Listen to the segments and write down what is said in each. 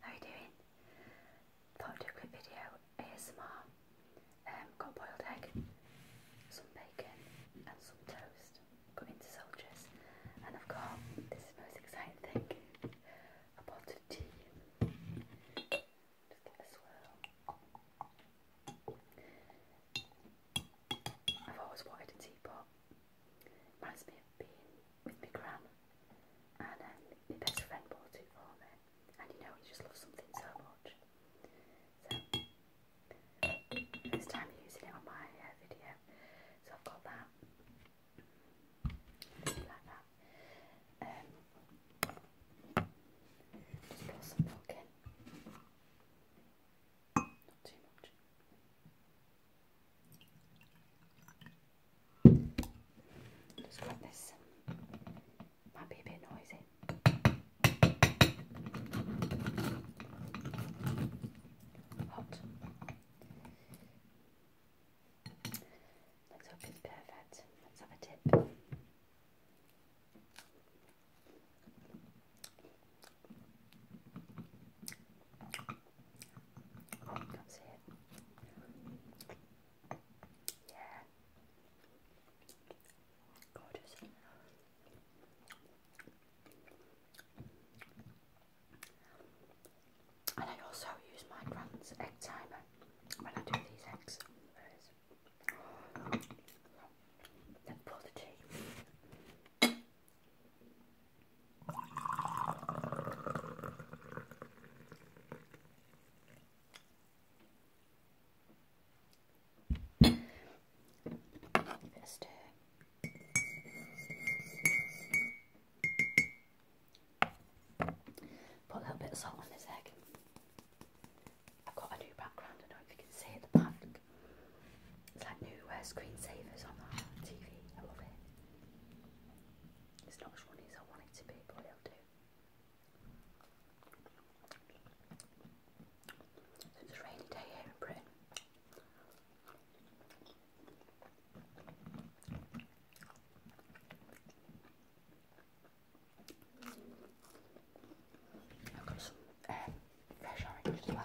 How you doing? Thought do a quick video ASMR. Um, got boiled egg, some bacon, and some toast. Got into soldiers, and I've got this most exciting thing a pot of tea. Just get a swirl. I've always wanted a teapot. Reminds me of being with my gran, and um, my best friend bought it for me, and you know you just love something so much. So first time using it on my uh, video, so I've got that like that. Um, just pour some milk Not too much. Just grab this. Um, might be a bit noisy. Hot. Let's hope it's perfect. Let's have a dip. Come see Yeah. Gorgeous. And I also use my grand's egg timer when I do these eggs. Then pour the tea. Stir. Put a little bit of salt on this egg. I've got a new background, I don't know if you can see it it's like new uh, screensavers on the TV. I love it. It's not as funny as I want it to be, but it'll do. It's a rainy day here in Britain. i fresh orange as well.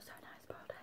So nice, boiled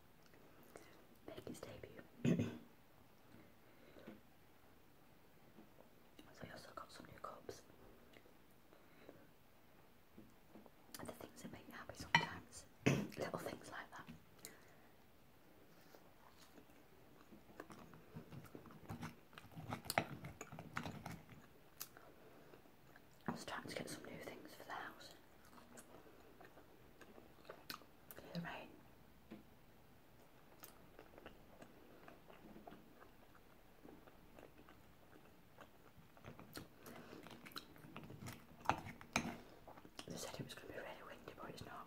make his debut. so I also got some new cups. And things that make me happy sometimes, little things like that. I was trying to get some new things for the house. the rain. They said it was going to be really windy, but it's not.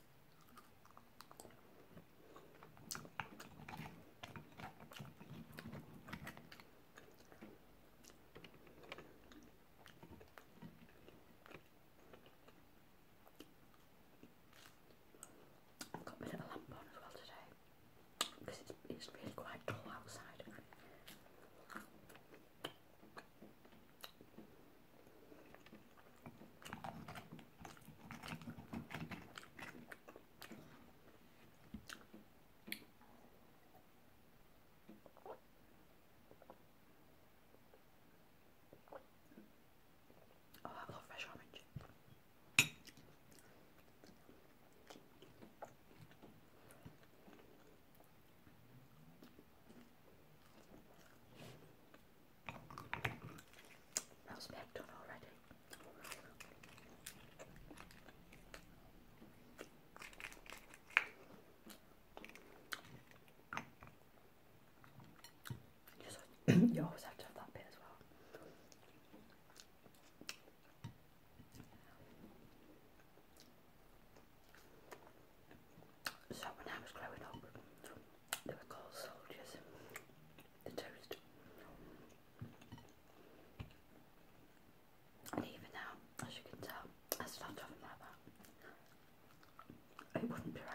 I've got my little lamp on as well today because it's, it's really quite dull outside. Oh, I love fresh orange. That's packed on already. you always have to have that bit as well. So when I was growing up, they were called soldiers. The toast. And even now, as you can tell, I start talking like that. It wouldn't be right.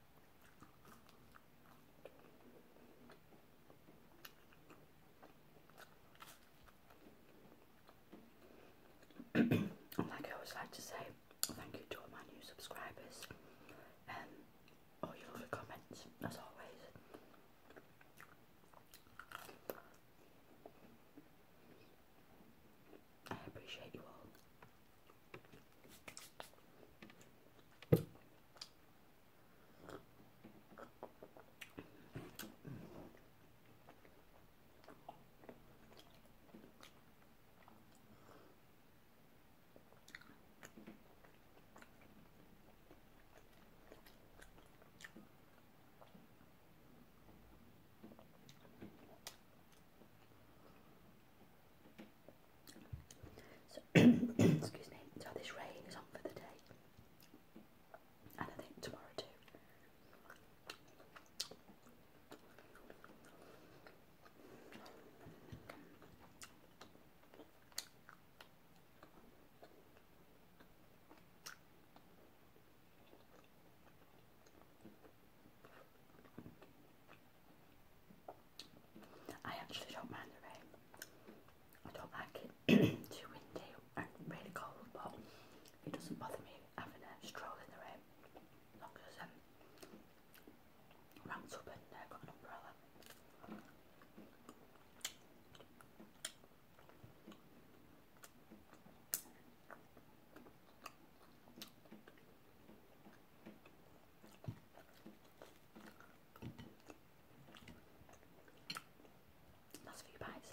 like I always like to say, thank you to all my new subscribers and um, all your lovely comments, as always. I appreciate you all. So, excuse me, so this rain is on for the day, and I think tomorrow too. I actually don't mind the rain. I don't like it too windy and really cold, but it doesn't bother me having a stroll in the rain. Not because um, I ranked up and uh, got an umbrella. That's for you I love that.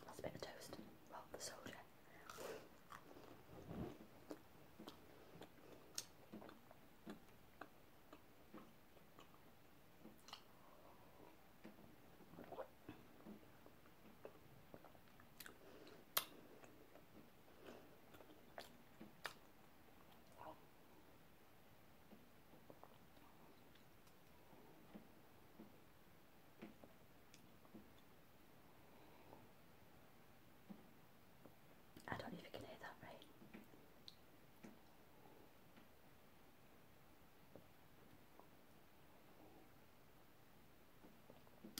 That's a bit of toast. Well, the soldier. I don't know if you can hear that right.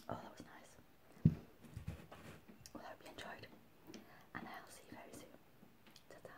Oh, that was nice. Well, hope you enjoyed, and I'll see you very soon. ta